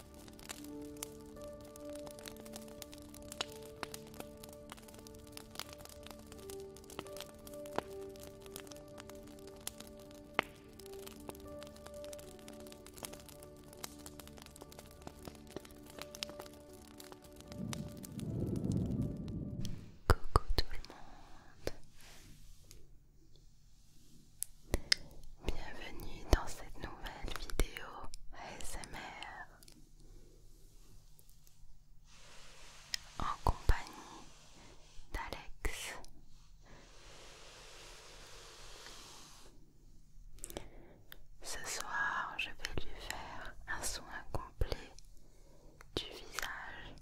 Coucou tout le monde. Bienvenue dans cette nouvelle vidéo ASMR en compagnie d'Alex. Ce soir, je vais lui faire un soin complet du visage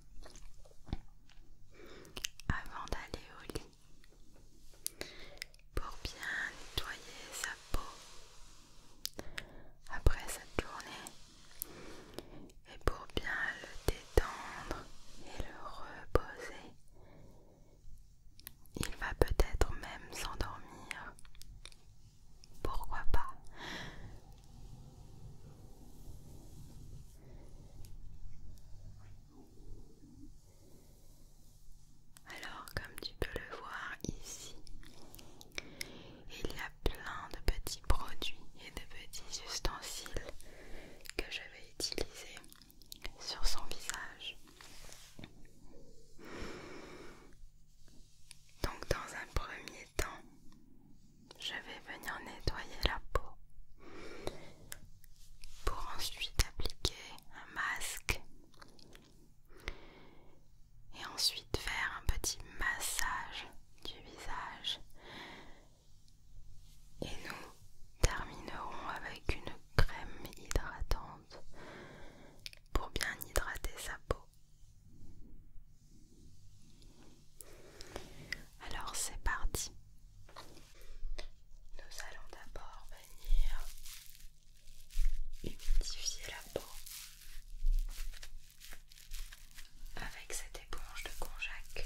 avant d'aller au lit pour bien nettoyer sa peau après cette journée et pour bien le détendre et le reposer. Il va peut-être même s'endormir. Pourquoi pas alors comme tu peux le voir ici, il y a plein de petits produits et de petits ustensiles que je vais utiliser sur son visage. Donc dans un premier temps, je vais venir nettoyer la peau pour ensuite appliquer un masque et ensuite faire un petit massage du visage. Et nous terminerons avec une crème hydratante pour bien hydrater sa peau. Alors c'est parti. Nous allons d'abord venir humidifier la peau avec cette éponge de konjac.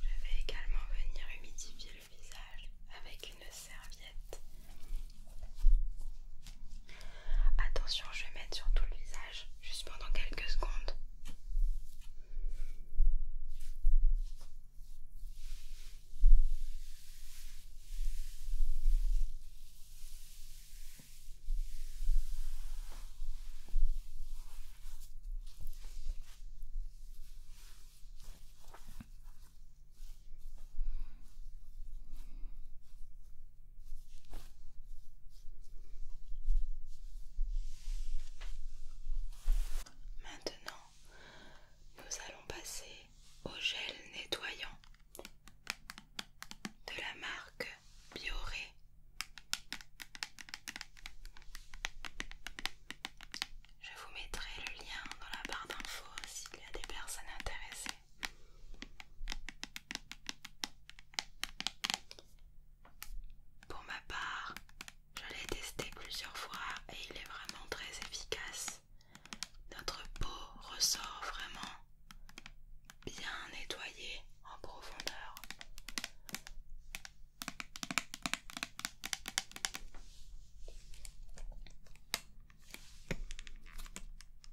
Je vais également venir humidifier le visage avec serviette. Attention, je vais mettre sur tout le visage, juste pendant quelques secondes. Maintenant, nous allons passer au gel nettoyant de la marque Bioré. Je vous mettrai le lien dans la barre d'infos s'il y a des personnes intéressées. Pour ma part, je l'ai testé plusieurs fois et il est vraiment très efficace. Notre peau ressort vraiment bien nettoyée en profondeur.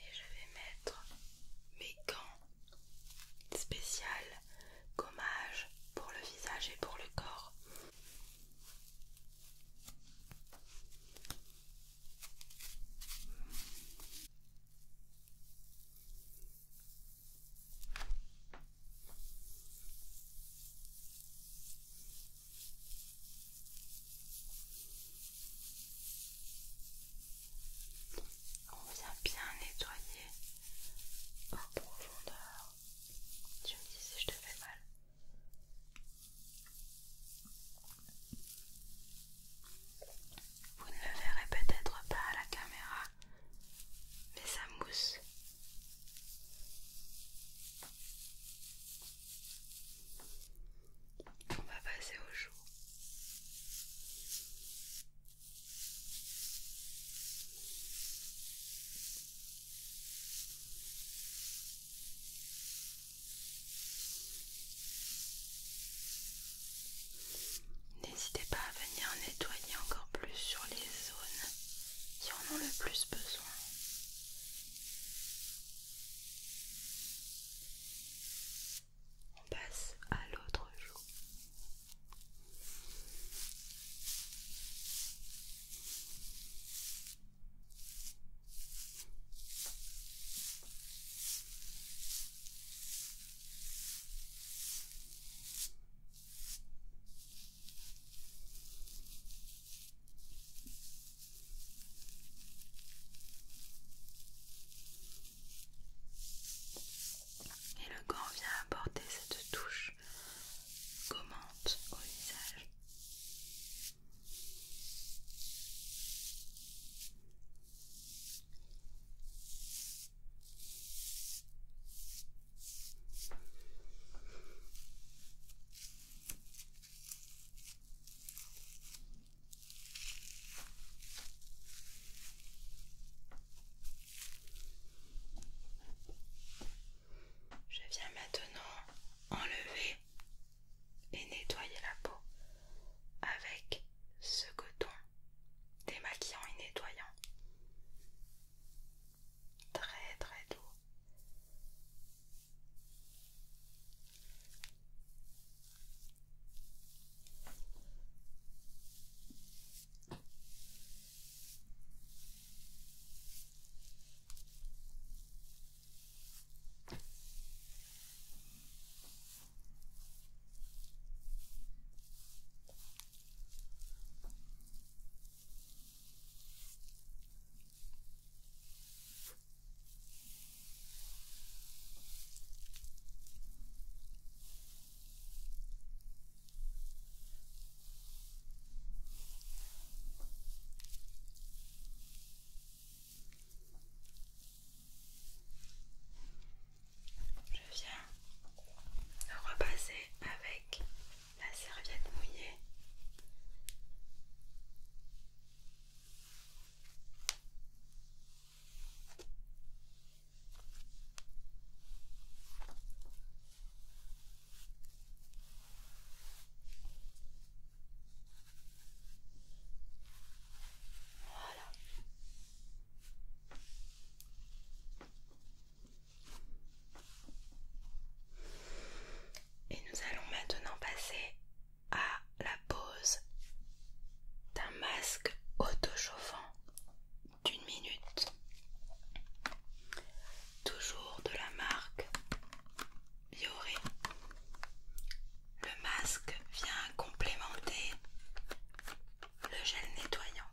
Et je vais mettre mes gants spéciales gommage pour le visage et pour le corps. On vient bien nettoyer en profondeur. Tu me dis si je te fais mal. Vous ne le verrez peut-être pas à la caméra, mais ça mousse on va passer au jour. N'hésitez pas à venir nettoyer encore plus sur les zones qui en ont le plus besoin. On passe à l'autre jour et le gant vient apporter cette touche gommante au visage. Je viens maintenant enlever et nettoyer la peau avec ce coton démaquillant et nettoyant très très doux. Je viens repasser avec la serviette mouillée. Voilà. Et nous allons maintenant passer à la pose d'un masque auto-chauffant d'une minute. Toujours de la marque Biore Le masque vient complémenter le gel nettoyant.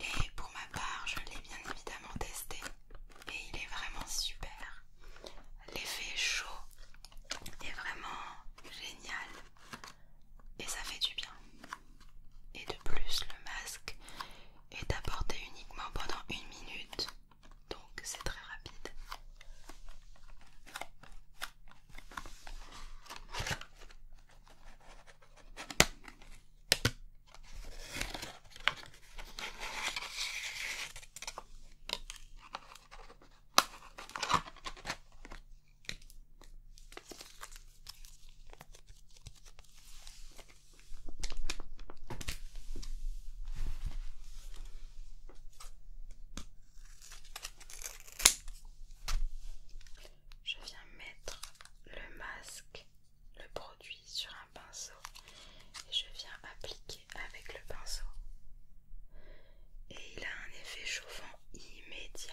Et pour ma part, je l'ai bien évidemment testé et il est vraiment super. L'effet chaud est vraiment génial et ça fait du bien. Et de plus, le masque est apporté uniquement pendant une minute, donc c'est très rapide. Je viens mettre le masque, le produit sur un pinceau et je viens appliquer avec le pinceau. Et il a un effet chauffant immédiat.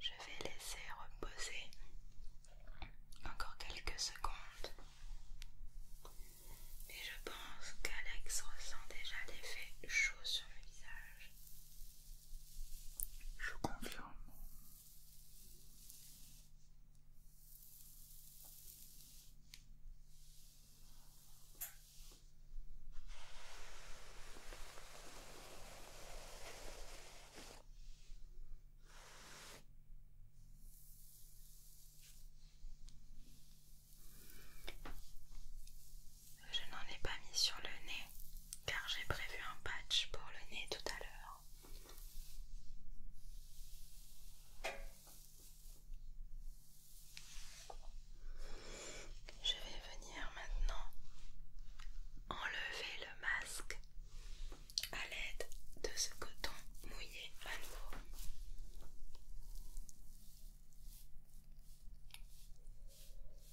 Je vais laisser reposer encore quelques secondes. Et je pense qu'Alex ressent déjà l'effet chaud sur le visage. Je confirme. Je n'en ai pas mis sur le nez car j'ai prévu un patch pour le nez tout à l'heure. Je vais venir maintenant enlever le masque à l'aide de ce coton mouillé à nouveau.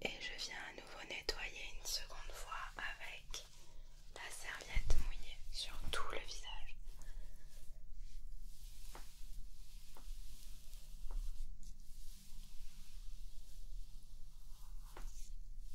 Et je viens à nouveau nettoyer une seconde fois avec la serviette mouillée sur tout le visage.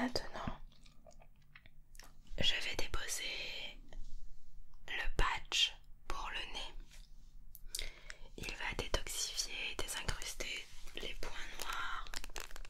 Maintenant, je vais déposer le patch pour le nez. Il va détoxifier et désincruster les points noirs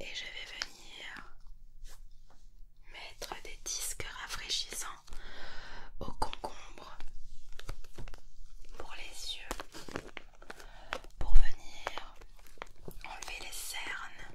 Et je vais venir mettre des disques rafraîchissants aux concombres, pour les yeux pour venir enlever les cernes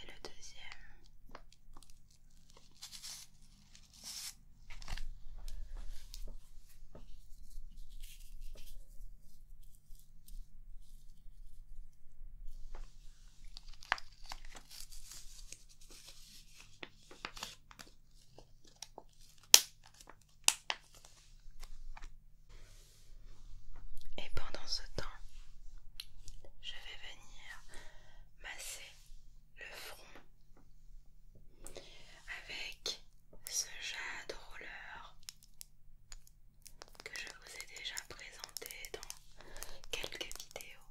Et le deuxième. Et pendant ce temps, je vais venir masser le front avec ce jade roller que je vous ai déjà présenté dans quelques vidéos.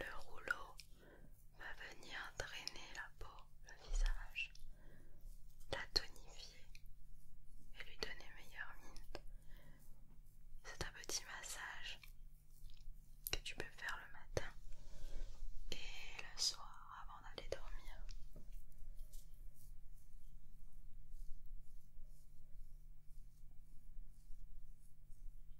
Le rouleau va venir drainer la peau, le visage, la tonifier et lui donner meilleure mine. C'est un petit massage que tu peux faire le matin et le soir avant d'aller dormir.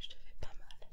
Je te fais pas mal.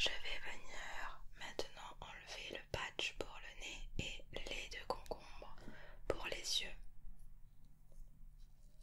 Je vais venir maintenant enlever le patch pour le nez et les de concombre pour les yeux.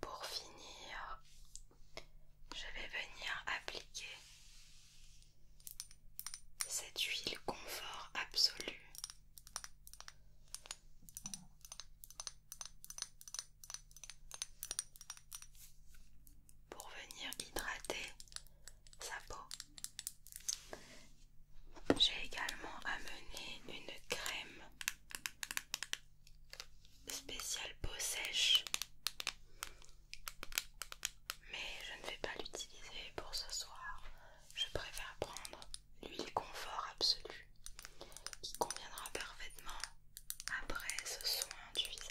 Pour finir, je vais venir appliquer cette huile confort absolue pour venir hydrater sa peau. J'ai également amené une crème spécial peau sèche mais je ne vais pas l'utiliser pour ce soir je préfère prendre l'huile confort absolu, qui conviendra parfaitement après ce soin du visage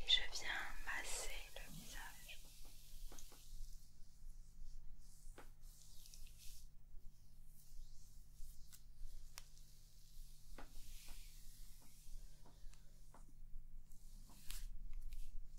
Et je viens masser le visage.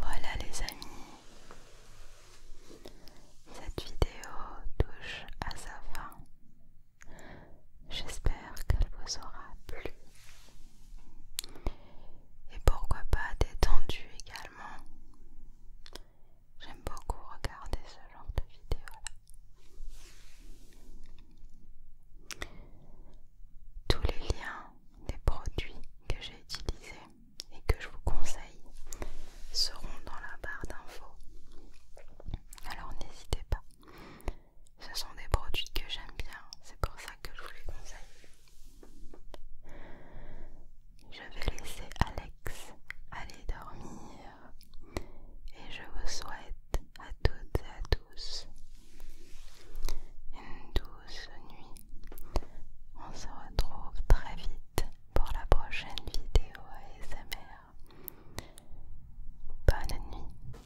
Voilà les amis, cette vidéo touche à sa fin. J'espère qu'elle vous aura plu et pourquoi pas détendu également. J'aime beaucoup regarder ce genre de vidéos-là. Tous les liens des produits que j'ai utilisés et que je vous conseille seront dans la barre d'infos. Alors n'hésitez pas. Ce sont des produits que j'aime bien, c'est pour ça que je vous les conseille. Je vais laisser Alex aller dormir et je vous souhaite à toutes et à tous une douce nuit. On se retrouve très vite pour la prochaine vidéo ASMR. Bonne nuit.